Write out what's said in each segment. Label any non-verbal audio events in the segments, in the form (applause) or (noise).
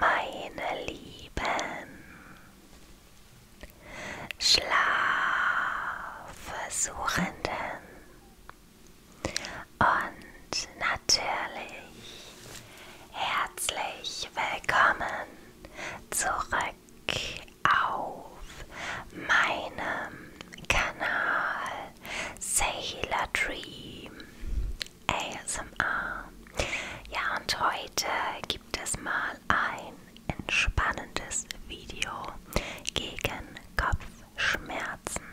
Hey, meine Lieben, Schlafversuchenden und natürlich herzlich willkommen zurück Speck auf meinem Kanal Sailor Dream ASMR. Ja, und heute gibt es mal ein entspannendes Video gegen Kopfschmerzen.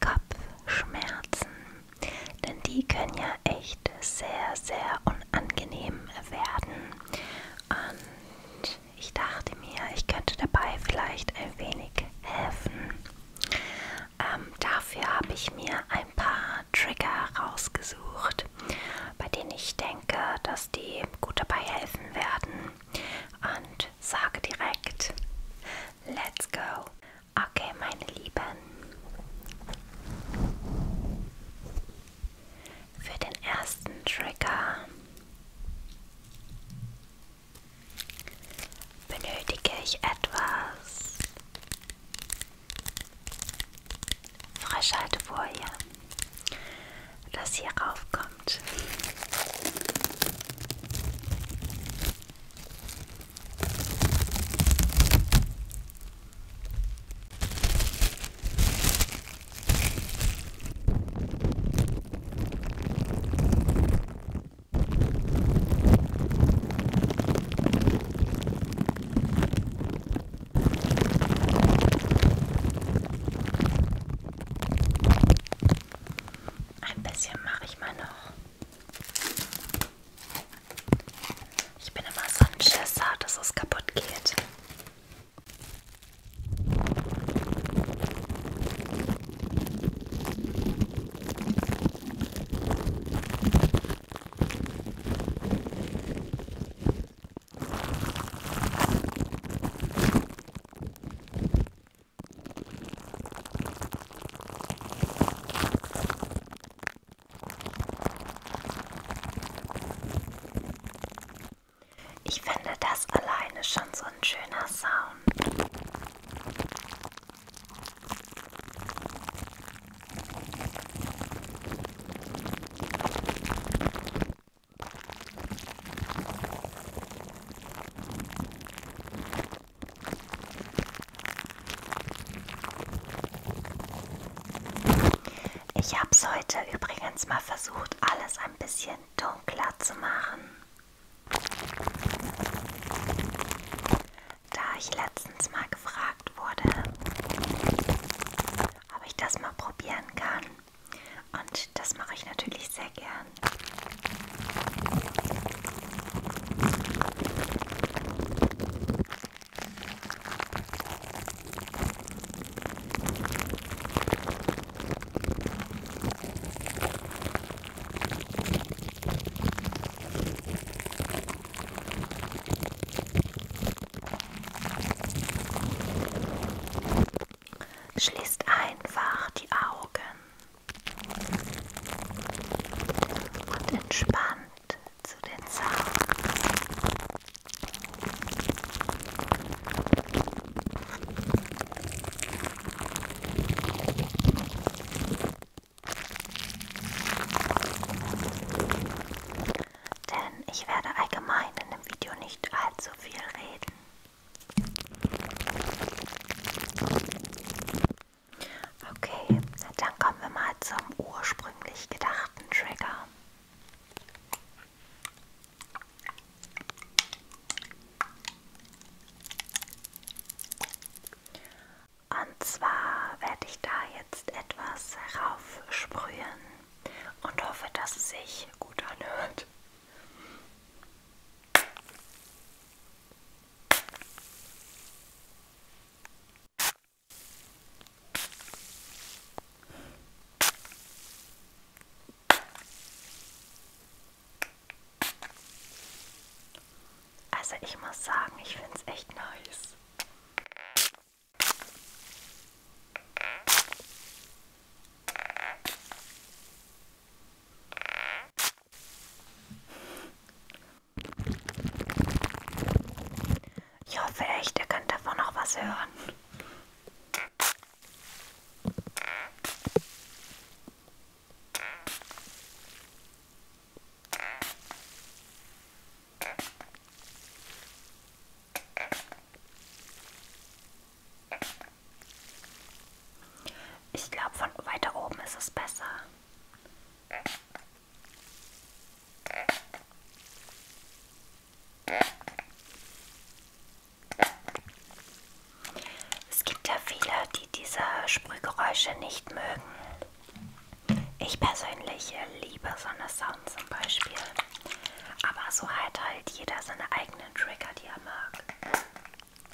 Kopfschmerzen, denn die können ja echt sehr, sehr angenehm werden. Und ich dachte mir, ich könnte dabei vielleicht ein wenig helfen. Ähm, dafür habe ich mir ein paar Trigger rausgesucht, bei denen ich denke, dass die gut dabei helfen werden. Und sage direkt, let's go. Okay, meine Lieben für den ersten Trigger benötige ich etwas Frischhaltefolie, das hier raufkommt. Ein bisschen mache ich mal noch. Ich bin immer so ein Schisser, dass es kaputt geht. Ich finde das alleine schon so ein schöner Sound. Ich habe es heute übrigens mal versucht, alles ein bisschen dunkler zu machen. Da ich letztens mal gefragt wurde, ob ich das mal probieren kann. Und das mache ich natürlich sehr gern. Schließt einfach die Augen und entspannt zu den Zahlen. Denn ich werde allgemein in dem Video nicht allzu viel reden. Okay, dann kommen wir mal zum ursprünglich gedachten Trigger. Und zwar werde ich da jetzt etwas raufsprühen und hoffe, dass es sich gut anhört. Also ich muss sagen, ich finde es echt nice. Ich hoffe echt, ihr könnt davon noch was hören. Ich glaube, von weiter oben ist es besser. Es gibt ja viele, die diese Sprühgeräusche nicht mögen. Ich persönlich liebe so eine Sound zum Beispiel. Aber so hat halt jeder seine eigenen Trigger, die er mag.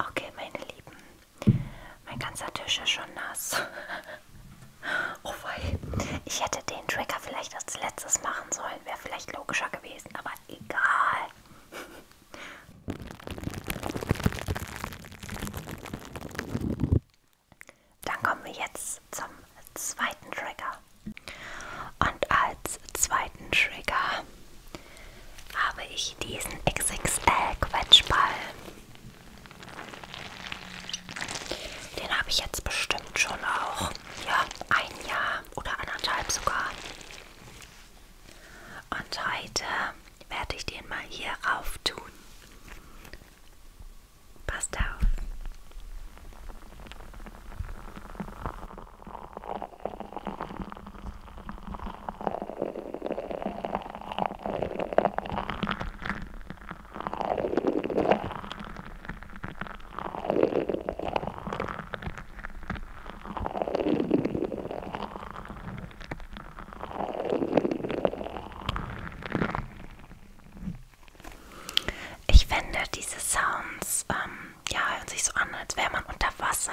Okay, meine Lieben, mein ganzer Tisch ist schon nass. (laughs) oh wei, ich hätte den Trigger vielleicht als letztes machen sollen, wäre vielleicht logischer gewesen, aber egal. Dann kommen wir jetzt zum zweiten Trigger. Und als zweiten Trigger habe ich diesen XXL Quetschball. Den habe ich jetzt bestimmt schon auch ja, ein Jahr oder anderthalb sogar. Und heute werde ich den mal hier rauf tun. Passt auf. Ich finde, diese Sounds ähm, ja, hören sich so an, als wäre man unter Wasser.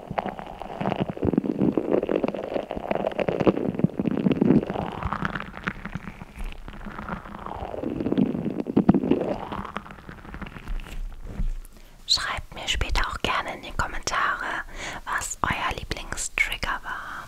Schreibt mir später auch gerne in die Kommentare, was euer Lieblingstrigger war.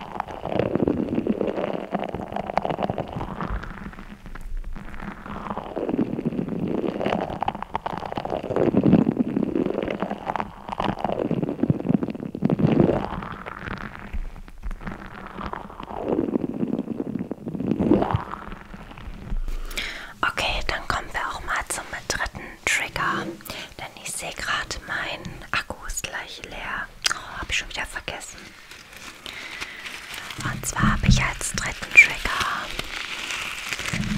Okay, dann kommen wir auch mal zum dritten Trigger, denn ich sehe gerade, mein Akku ist gleich leer. Oh, habe ich schon wieder vergessen. Und zwar habe ich als dritten Trigger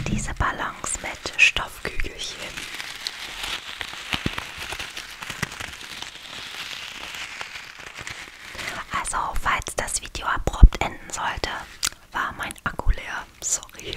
diese Ballons mit Stoffkügelchen. Also, falls das Video abrupt enden sollte, war mein Akku leer. Sorry.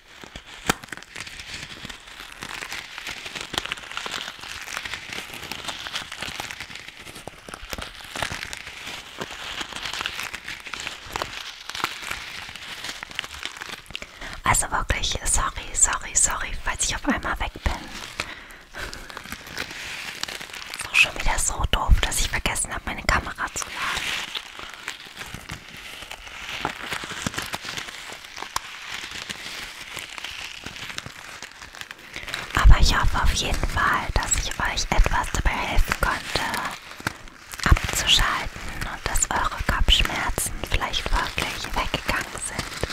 Also wirklich, sorry, sorry, sorry, falls ich auf einmal weg bin. Ist auch schon wieder so doof, dass ich vergessen habe, meine Kamera zu laden. Aber ich hoffe auf jeden Fall, dass ich euch etwas dabei helfen konnte, abzuschalten und dass eure Kopfschmerzen vielleicht wirklich weggegangen sind.